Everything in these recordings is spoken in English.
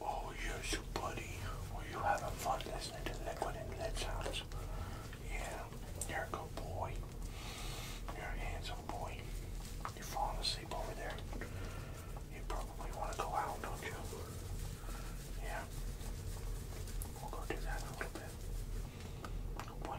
Oh yes, buddy. Were you having fun listening to Liquid and Lip Sounds? Yeah, you're a good boy. You're a handsome boy. You're falling asleep over there. You probably want to go out, don't you? Yeah. We'll go do that in a little bit. Good boy.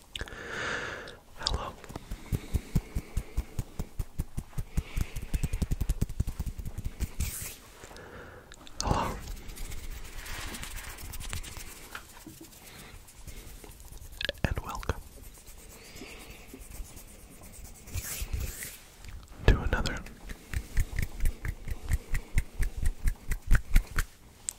Hello. Hello. And welcome to another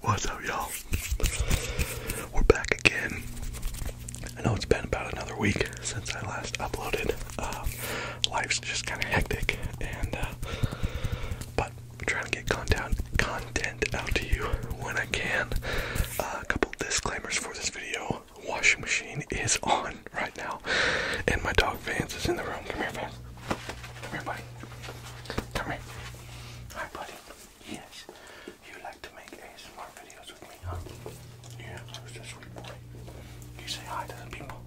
What's up, y'all? We're back again. I know it's been about another week since I last uploaded. Uh, life's just kind of hectic, and uh, but I'm trying to get content content out to you when I can. Uh, a couple disclaimers for this video. Washing machine is on right now, and my dog Vance is in the room. Come here, Vance. Come here, buddy. Come here. Hi, buddy. Yes. You like to make ASMR videos with me, huh? Yeah, I was just sweet boy. You say hi to the people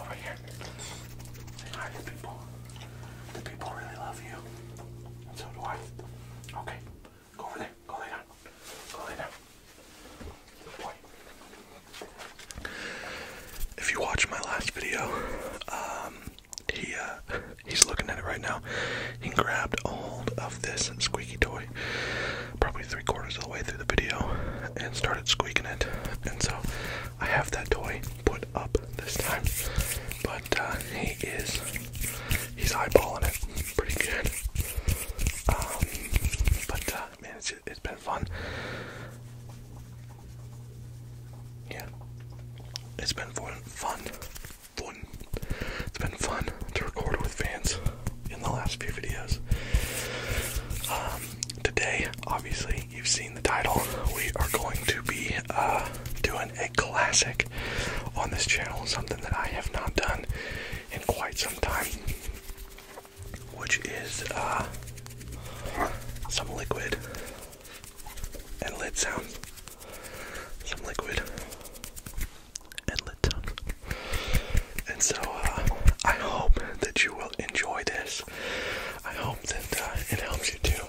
over here. Say hi to the people. The people really love you. And so do I. Okay. Go over there. Go lay down. Go lay down. Good boy. If you watch my last video, um, he uh, he's looking at it right now. He grabbed hold of this squeaky toy, probably three quarters of the way through the video, and started squeaking it. And so I have that toy put up this time, but uh, he is he's eyeballing it pretty good. Um, but uh, man, it's been fun yeah, it's been fun, fun, fun. It's been fun to record with fans in the last few videos. Um, today, obviously, you've seen the title. We are going to be uh, doing a classic on this channel, something that I have not done in quite some time, which is uh, some liquid and lid sound. Some liquid and let sound. And so uh, I hope that you will enjoy this. I hope that uh, it helps you too.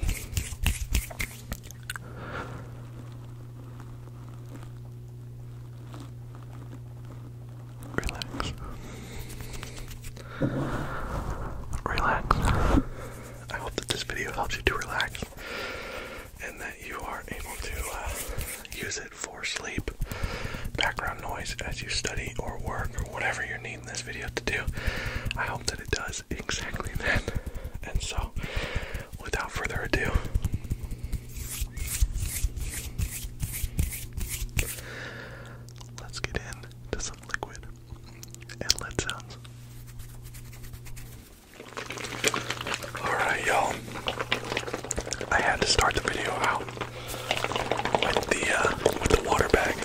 Relax. Relax. I hope that this video helps you to relax and that you are able to uh, use it for sleep, background noise as you study or work or whatever you're needing this video to do. I hope that it does exactly that. And so, without further ado, let's get into some liquid Alright, y'all. I had to start the video out with the uh, with the water bag.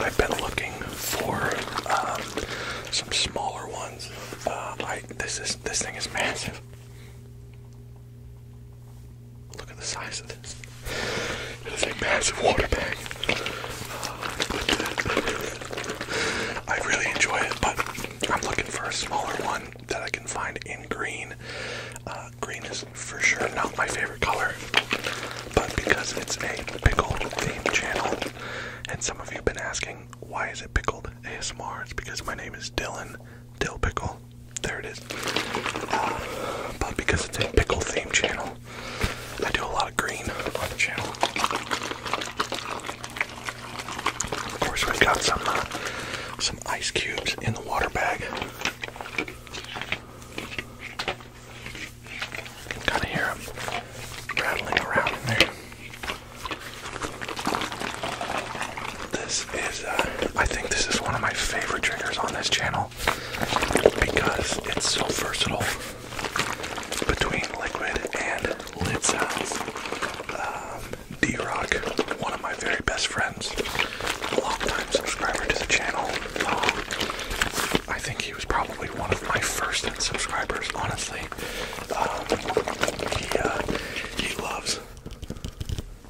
I've been looking for um, some smaller ones. Uh, this is this thing is massive. Look at the size of this. It's a massive water bag. I really enjoy it, but I'm looking for a smaller one that I can find in green. Uh, green is for sure not my favorite color, but because it's a pickle theme channel, and some of you have been asking, why is it pickled ASMR? It's because my name is Dylan Dill Pickle. There it is. Uh, but because it's a pickle theme channel, I do a lot of green on the channel. Of course, we've got some uh, some ice cubes in the water bag. can kind of hear them rattling around in there. This is, uh, I think this is one of my favorite triggers on this channel because it's so versatile between liquid and lid sounds. Um, D Rock, one of my very best friends, a long time subscriber to the channel. Um, I think he was probably one of my first subscribers, honestly. Um, he, uh, he loves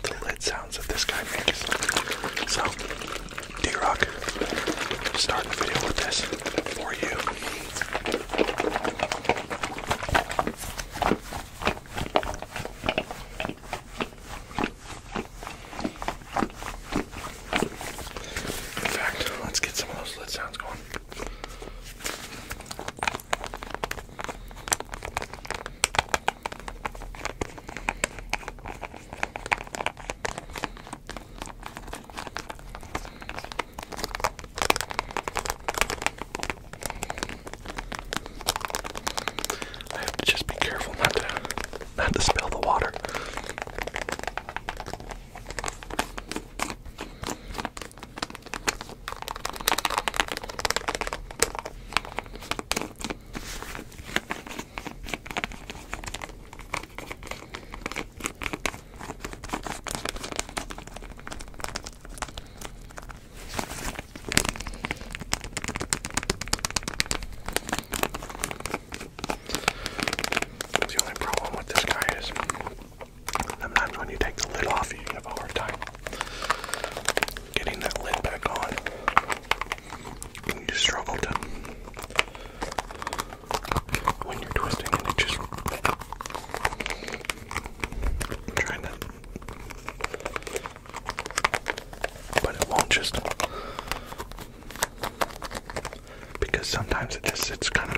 the lid sounds that this guy makes. So, D Rock, start the video with this for you. In fact, let's get some of those lid sounds going. I have to just be careful not to not to spill the water. The only problem with this guy is sometimes when you take the lid off, you have a hard time getting that lid back on you struggle to when you're twisting and it just trying to but it won't just because sometimes it just sits kind of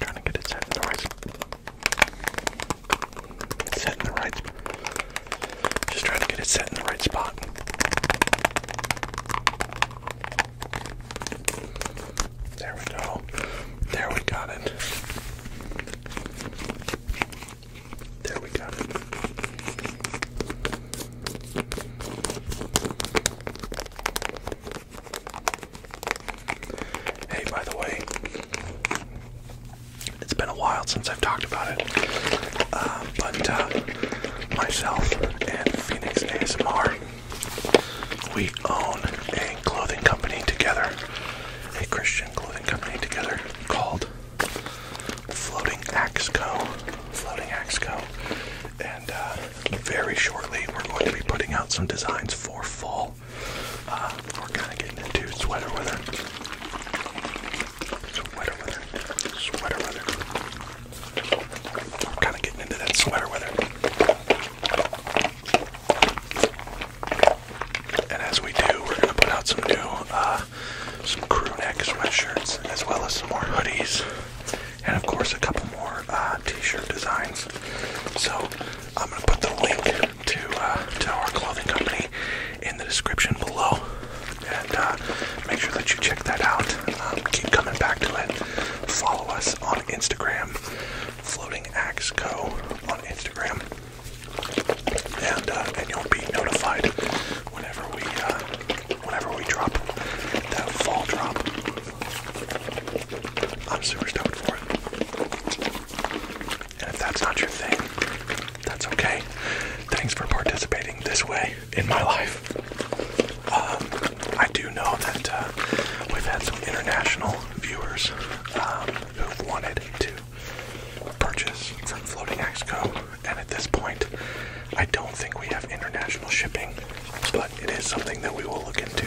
trying to get it set in the right set in the right just trying to get it set in the right spot. There we go. There we got it. There we got it. Hey, by the way, it's been a while since I've talked about it, uh, but uh, myself and Phoenix ASMR, we own a clothing company together, a Christian clothing company together called Floating Axe Co. Floating Axe Co and uh, very shortly we're going to be putting out some designs for fall. Uh, we're kind of getting into sweater weather, sweater weather, sweater weather. We're kind of getting into that sweater weather. And as we do, we're going to put out some new, uh, some crew neck sweatshirts, as well as some more hoodies, and of course a couple more uh, t-shirt designs. So I'm gonna put the link to uh, to our clothing company in the description below, and uh, make sure that you check that out. Um, keep coming back to it. Follow us on Instagram, Floating Axe Co. on Instagram, and and you'll be notified whenever we whenever we drop that fall drop. I'm super stoked for it. And if that's not your thing, that's okay. Thanks for participating this way in my life. Um, I do know that uh, we've had some international viewers um, who've wanted to purchase from Floating Co. and at this point, I don't think we have international shipping, but it is something that we will look into.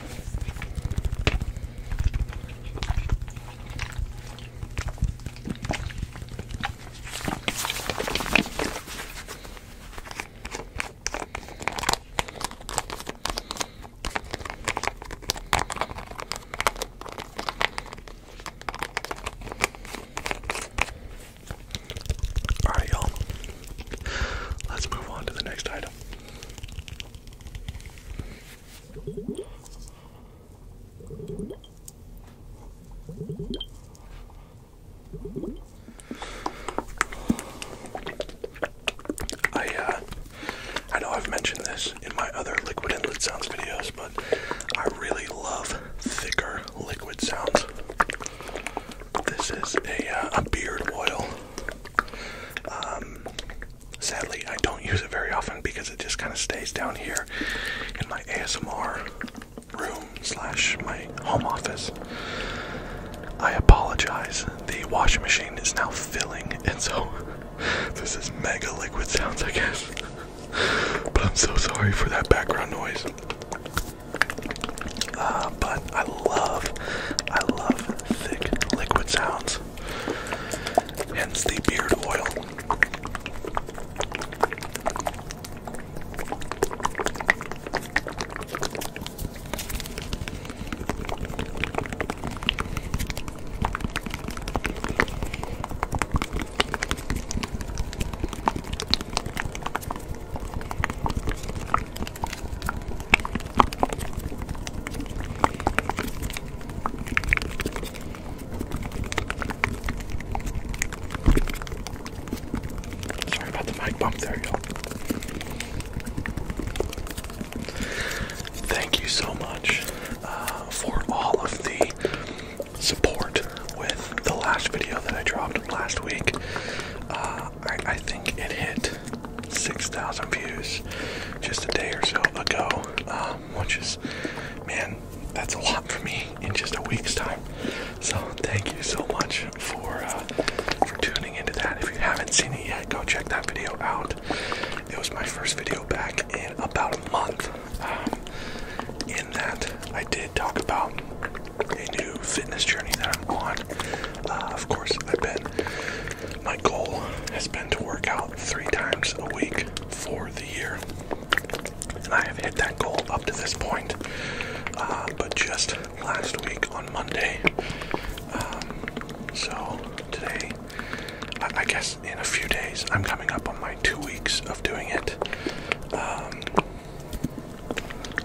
All right, y'all. Let's move on to the next item. I uh, I know I've mentioned this in my other liquid and lid sounds videos, but I really love thicker liquid sounds. This is a, uh, a beard oil. Um, sadly, I don't use it very often because it just kind of stays down here in my ASMR room slash my home office. I apologize. The washing machine is now filling, and so this is mega liquid sounds, I guess. But I'm so sorry for that background noise. Uh, but I love, I love thick liquid sounds. Hence the beard oil. Sorry about the mic bump there, y'all. Thank you so much uh, for all of the support with the last video that I dropped last week. Uh, I, think it hit 6,000 views just a day or so ago, um, which is, man, that's a lot for me in just a week's time. So thank you so much for uh, for tuning into that. If you haven't seen it yet, go check that video out. It was my first video back in about a month. Um, in that, I did talk about a new fitness journey that I'm on. Uh, of course, I've been my goal has been to work out three times a week for the year. And I have hit that goal up to this point. Uh, but just last week on Monday, um, so today, I, guess in a few days, I'm coming up on my two weeks of doing it. Um,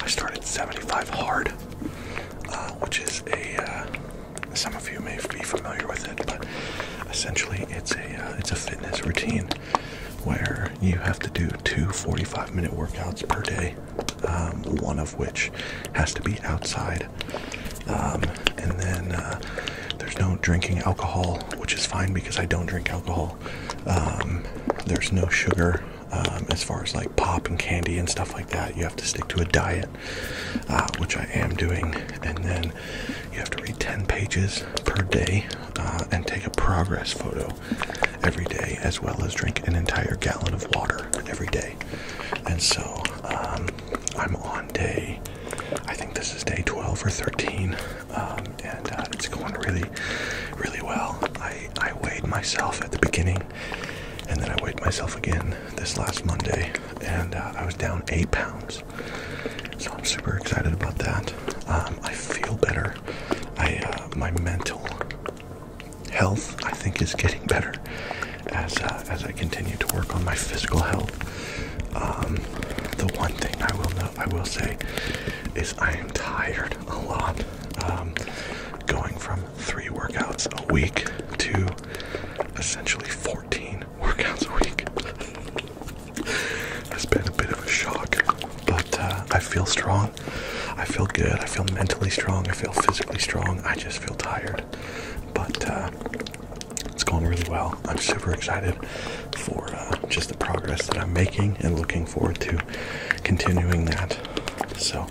I started 75 hard, uh, which is a uh, some of you may be familiar with it, but essentially it's a uh, it's a fitness routine where you have to do two 45 minute workouts per day, um, one of which has to be outside. Um, and then uh, there's no drinking alcohol, which is fine because I don't drink alcohol. Um, there's no sugar as far as like pop and candy and stuff like that. You have to stick to a diet. Uh, which I am doing, and then you have to read 10 pages per day uh, and take a progress photo every day, as well as drink an entire gallon of water every day. And so um, I'm on day, I think this is day 12 or 13, um, and uh, it's going really, really well. I weighed myself at the beginning and then I weighed myself again this last Monday, and uh, I was down eight pounds. So I'm super excited about that. Um, I feel better. I uh, my mental health, I think, is getting better as uh, as I continue to work on my physical health. Um, the one thing I will know, I will say, is I am tired a lot. Um, going from three workouts a week to essentially 14 workouts a week. it's been a bit of a shock, but uh, I feel strong. I feel good. I feel mentally strong. I feel physically strong. I just feel tired. But uh, it's going really well. I'm super excited for uh, just the progress that I'm making and looking forward to continuing that. So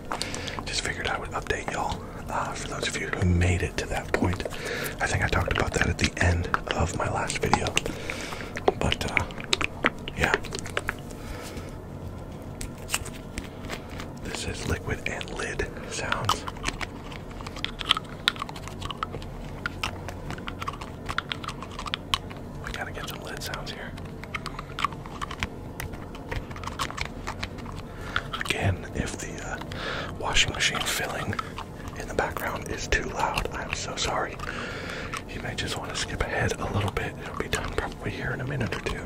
so just figured I would update y'all uh, for those of you who made it to that point. I think I talked about that at the end of my last video. But uh, yeah. This is liquid and lid sounds. We gotta get some lid sounds here. Again, if the uh, washing machine filling in the background is too loud, I'm so sorry. You may just want to skip ahead a little bit. It'll be done probably here in a minute or two.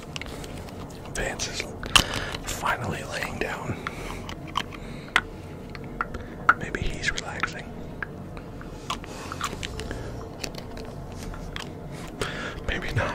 Vance is finally laying down. Maybe he's relaxing. Maybe not.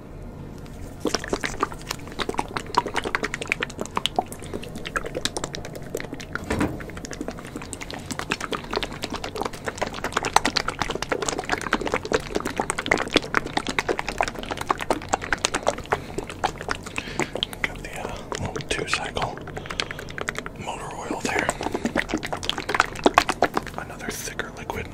Got the uh, little two cycle motor oil there. Another thicker liquid.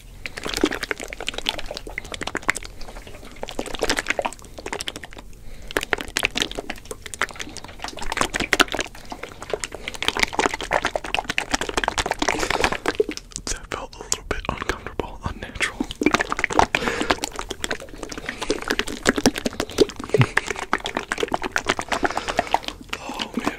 That felt a little bit uncomfortable, unnatural. oh man.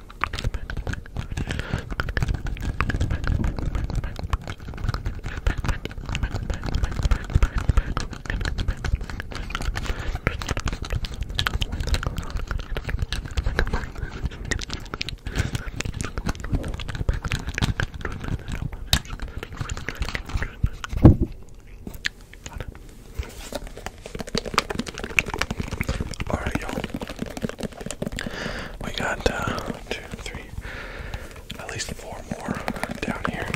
All right, y'all. We got uh, one, two, three, at least four more down here.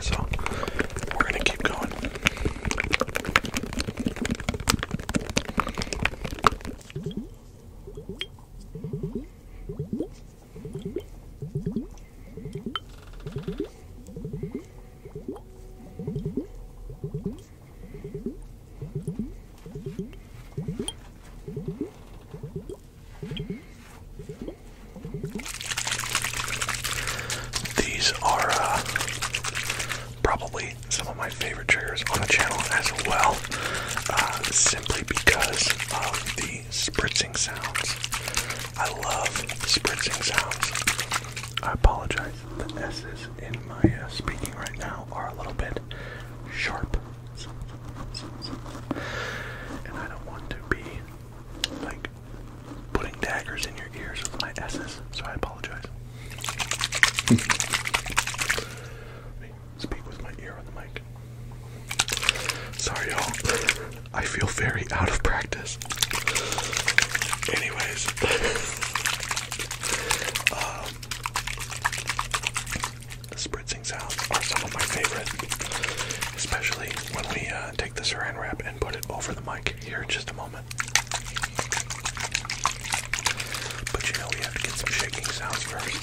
So we're gonna keep going. These are uh, probably some of my favorite triggers on the channel as well, uh, simply because of the spritzing sounds. I love spritzing sounds. I apologize, the S's in my uh, speaking right now are a little bit sharp. And I don't want to be like putting daggers in your ears with my S's, so I apologize. speak with my ear on the mic. Sorry, y'all. I feel very out of practice. Anyways, um, the spritzing sounds are some of my favorite, especially when we uh, take the saran wrap and put it over the mic here in just a moment. But you know, we have to get some shaking sounds first.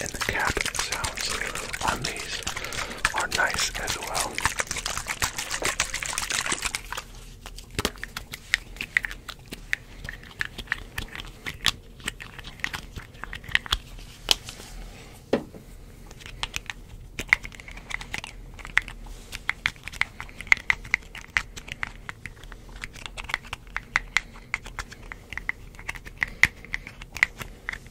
And the cap sounds on these are nice as well.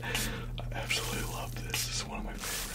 I absolutely love this. This is one of my favorites.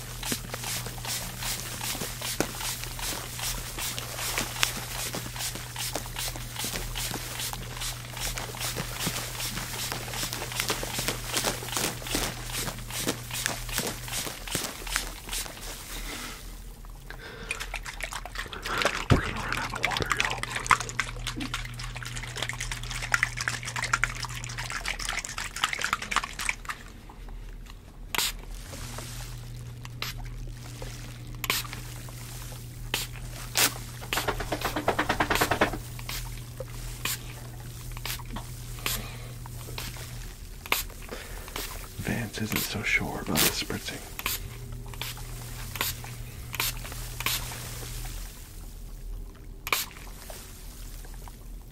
We're gonna run out of water, y'all. Vance isn't so sure about the spritzing.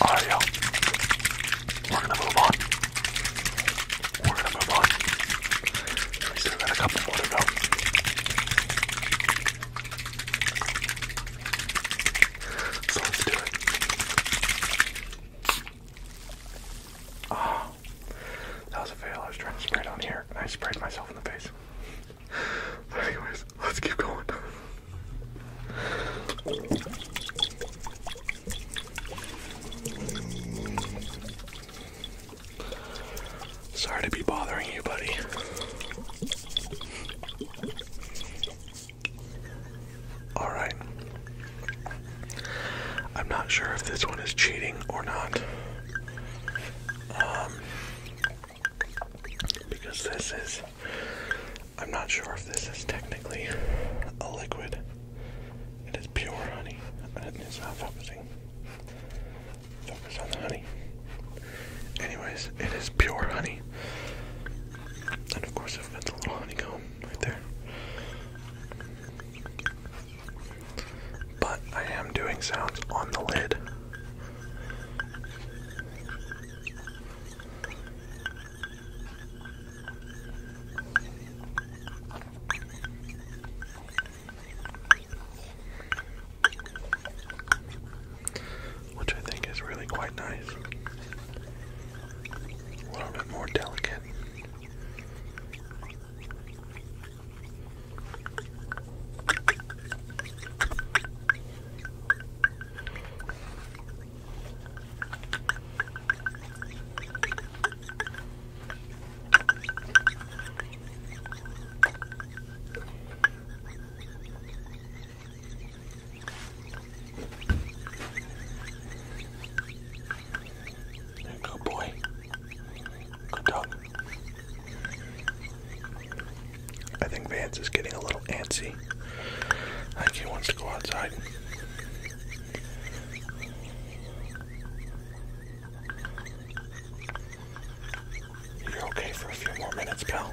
All right, y'all. We're gonna move on. We're gonna move on. We still got a couple more to go. So let's do it. Oh, that was a fail. I was trying to spray it on here, and I sprayed myself in the face. But anyways, let's keep going. Sorry to be bothering you, buddy. Alright. I'm not sure if this one is cheating or not. Um, because this is. I'm not sure if this is technically a liquid. It is pure honey, and it's not focusing. Focus on the honey. Anyways, it is pure honey. And of course, I've got the little honeycomb right there. But I am doing sounds on the lid. Which I think is really quite nice. A little bit more delicate. Good boy. Good dog. I think Vance is getting a little antsy. I think he wants to go outside. You're okay for a few more minutes, pal.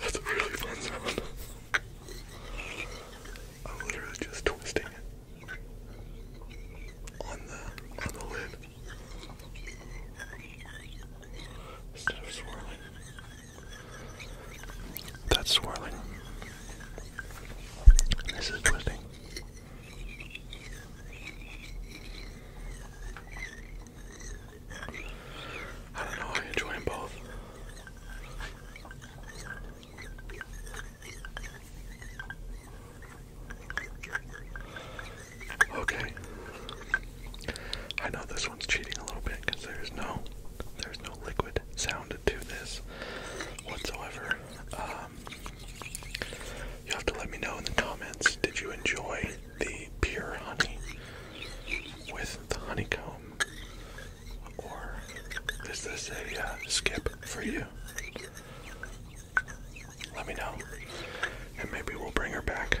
That's a really fun sound. I'm literally just twisting it on the on the lid instead of swirling. That's swirling. This is twisting. I don't know, I enjoy both. Okay. I know this one's cheating a little bit because there's no there's no liquid sound to this whatsoever. Um, you have to let me know in the comments. Did you enjoy the pure honey with the honeycomb, or is this a uh, skip for you? Let me know, and maybe we'll bring her back.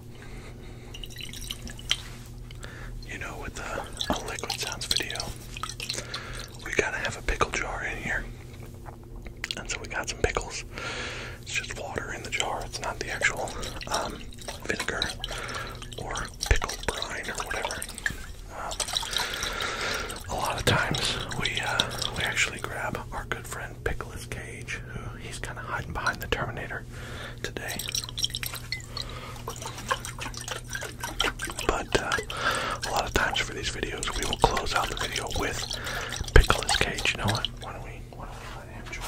You know, with the, a liquid sounds video, we gotta have a pickle jar in here. And so we got some pickles. It's just water in the jar. It's not the actual um, vinegar or pickle brine or whatever. Um, a lot of times we uh, we actually grab our good friend and Pickles Cage, who he's kind of hiding behind the Terminator today. But uh, a lot of times for these videos, we will close out the video with Pickles Cage. You know what? Why don't we? Why don't we let him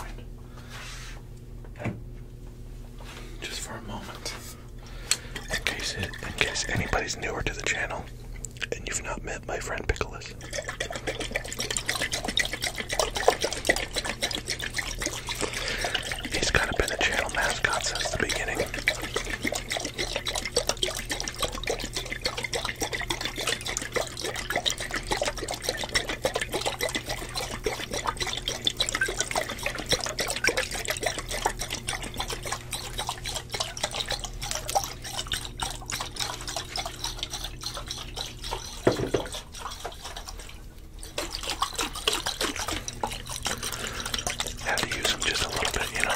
join? Just for a moment, in case in case anybody's newer to the channel and you've not met my friend Pickles sauce. He's kind of been the channel mascot since the beginning. Had to use them just a little bit, you know.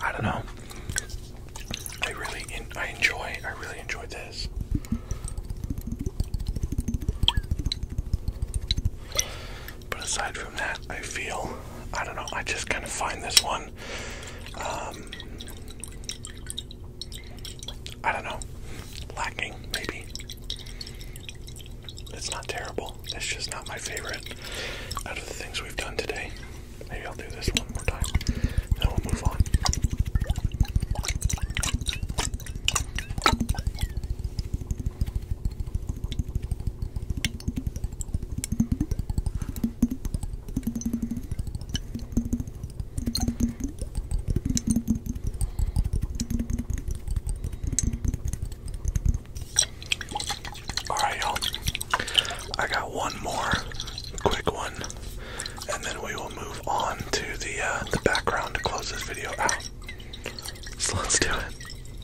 I don't know. I really I enjoy I really enjoyed this. But aside from that, I feel, I don't know, I just kind of find this one, um, I don't know, lacking maybe. It's not terrible, it's just not my favorite out of the things we've done today. Maybe I'll do this one more time, then we'll move on. All right, y'all. I got one more quick one, and then we will move on to the uh, the background to close this video out. So let's do it.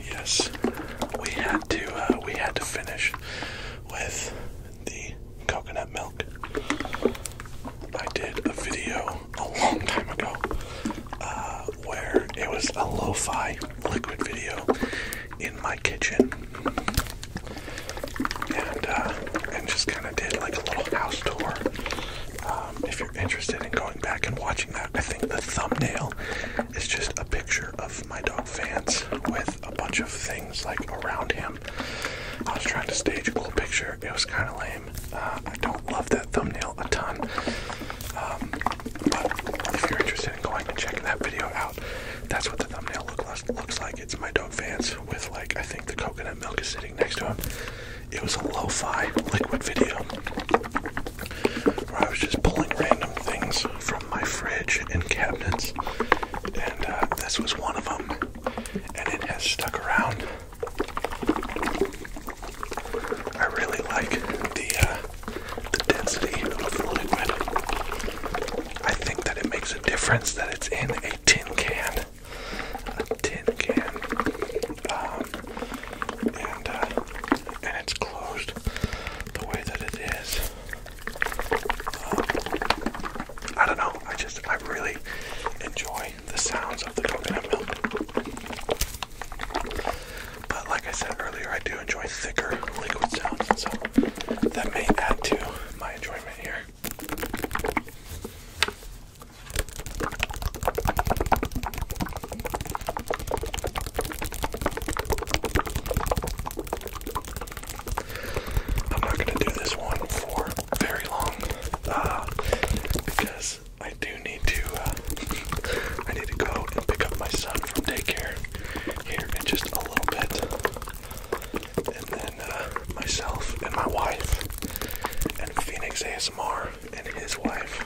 Yes, we had to uh, we had to finish with the coconut milk. I did a video a long time ago uh, where it was a lo-fi liquid video in my kitchen, and uh, just kind of did like a little house tour. Um, if you're interested in going back and watching that, I think the thumbnail it's just a picture of my dog Vance with a bunch of things like around him. I was trying to stage a cool picture. It was kind of lame. Uh, I don't love that thumbnail a ton. Um, but if you're interested in going and checking that video out, that's what the thumbnail look, looks like. It's my dog Vance with like I think the coconut milk is sitting next to him. It was a lo-fi liquid video. I was just pulling random things from my fridge and cabinets, and uh, this was one of them, and it has stuck around. I really like the uh, the density of the liquid. I think that it makes a difference that it's in a tin can, a tin can, um, and uh, and it's closed the way that it is. Um, I don't know. I just I really enjoy the sounds of the coconut milk. But like I said earlier, I do enjoy thicker liquid sounds, so that may add to my enjoyment here. I'm not going to do this one for very long uh, because I do need to. Uh, I need to go and pick up my son from daycare here in just a little bit, and then uh, myself and my wife and Phoenix ASMR and his wife.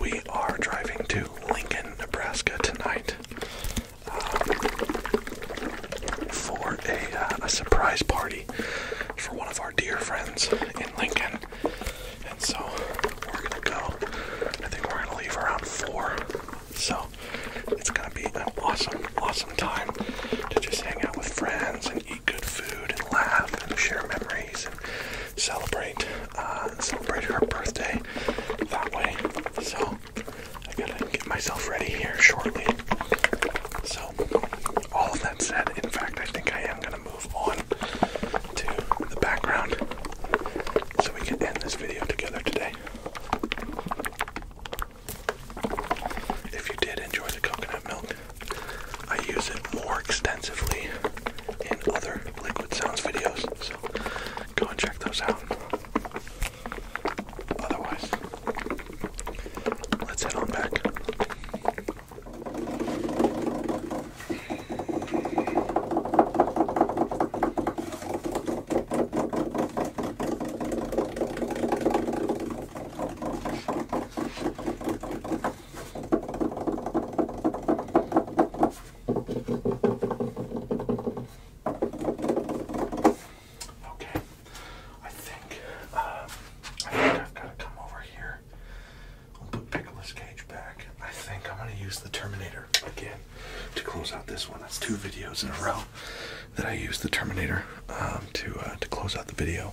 We are driving to Lincoln, Nebraska tonight for uh, a, surprise party for one of our dear friends in Lincoln. And so we're gonna go. I think we're gonna leave around four. So it's gonna be an awesome, awesome time to just hang out with friends and eat good food and laugh and share memories and celebrate uh, her birthday that way. So I gotta get myself ready here shortly. So all of that said, in fact, I think I am gonna move on to the background so we can end this video together today. If you did enjoy the coconut milk, I use it more extensively in other liquid sounds videos, so go and check those out. Otherwise, let's head on back. Okay, I think, um, I think I've got to come over here. I'll put Pickle's Cage back. I think I'm going to use the Terminator again to close out this one. That's two videos in a row that I used the Terminator um, to uh, to close out the video.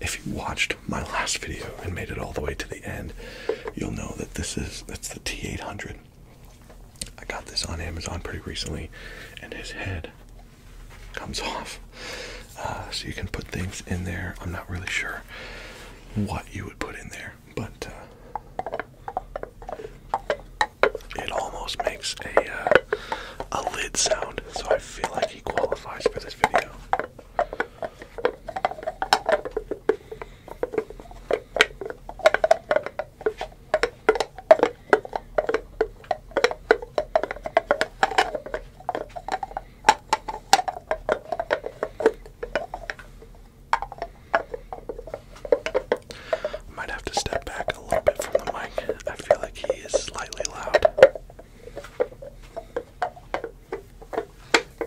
If you watched my last video and made it all the way to the end, you'll know that this is it's the T800. I got this on Amazon pretty recently, and his head comes off. Uh, so you can put things in there. I'm not really sure what you would put in there, but uh, it almost makes a uh, a lid sound. So I feel like he qualifies for this video. Might have to step back a little bit from the mic. I feel like he is slightly loud.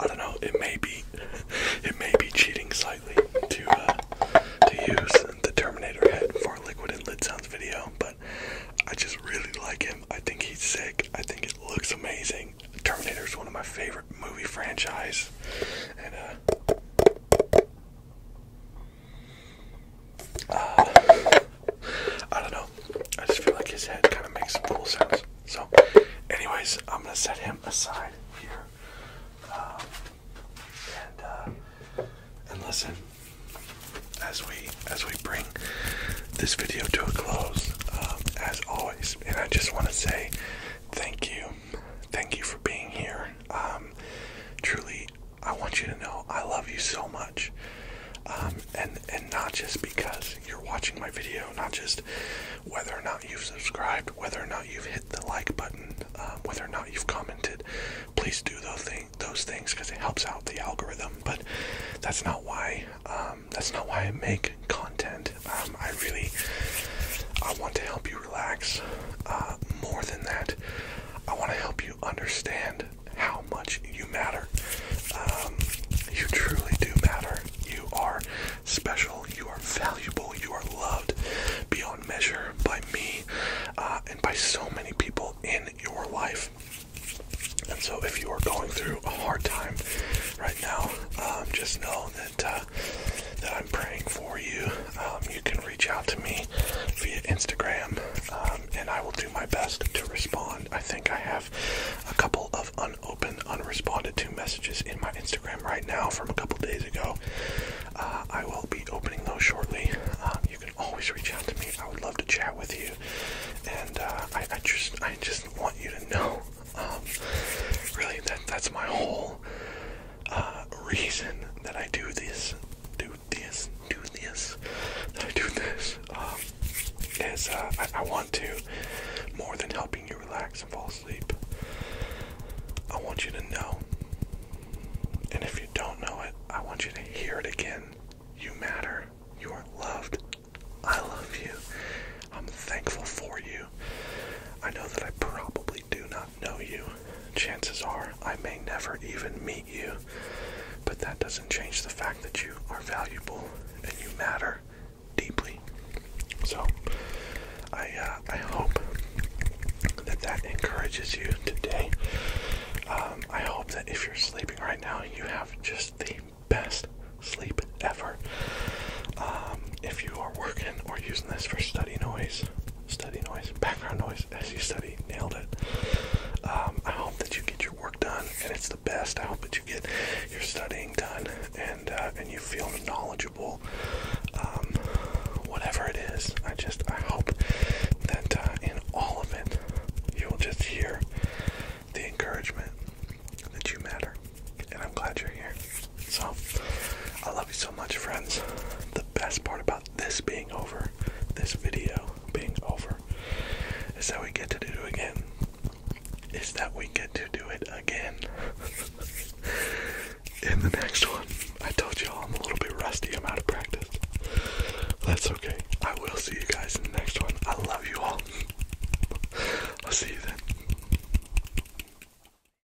I don't know. It may be, it may be cheating slightly to uh, to use the Terminator head for liquid and lid sounds video, but I just really like him. I think he's sick. I think it looks amazing. Terminator is one of my favorite movie franchise, and uh, I don't know. I just feel like his head kind of makes some cool So, anyways, I'm gonna set him aside here uh, and uh, and listen as we as we bring this video to a close. Um, as always, and I just want to say thank you thank you for being here. Um, truly, I want you to know I love you so much. Um, and and not just because you're watching my video, not just whether or not you've subscribed, whether or not you've hit the like button, um, whether or not you've commented, please do those things because it helps out the algorithm. But that's not why that's not why I make content. I really I want to help you relax. Uh, more than that, I want to help you understand how much you matter. Um, you truly do matter. You are special. You are valuable. You are loved beyond measure by me uh, and by so many people in your life. And so, if you are going through a hard time right now, um, just know that that I'm praying for you, um, you can reach out to me via Instagram, um, and I will do my best to respond. I think I have a couple of unopened, unresponded to messages in my Instagram right now from a couple days ago. Uh, I will be opening those shortly. Um, you can always reach out to me. I would love to chat with you, and uh, I, just, I just want you to know, really that that's my whole uh, reason that I do this, do this, do this, that I do this, um, is uh, I want to, more than helping you relax and fall asleep, I want you to know. And if you don't know it, I want you to hear it again. You matter. You are loved. I love you. I'm thankful for you. I know that I probably do not know you. Chances are I may never even meet you, but that doesn't change the fact that you are valuable and you matter deeply. So, I uh, I hope that that encourages you today. Um, I hope that if you're sleeping right now, you have just the best sleep ever. Um, if you are working or using this for study noise, study noise, background noise as you study. Nailed it. Um, I hope that you get your work done, and it's the best. I hope that you get your studying done, and uh, and you feel knowledgeable. Um, whatever it is, I just I hope that uh, in all of it, you will just hear the encouragement that you matter, and I'm glad you're here. So, I love you so much, friends. The best part about this being over, this video being over, is that we get to do it again. Is that we get to do it again in the next one. I told you all I'm a little bit rusty, I'm out of practice. That's okay. I will see you guys in the next one. I love you all. I'll see you then.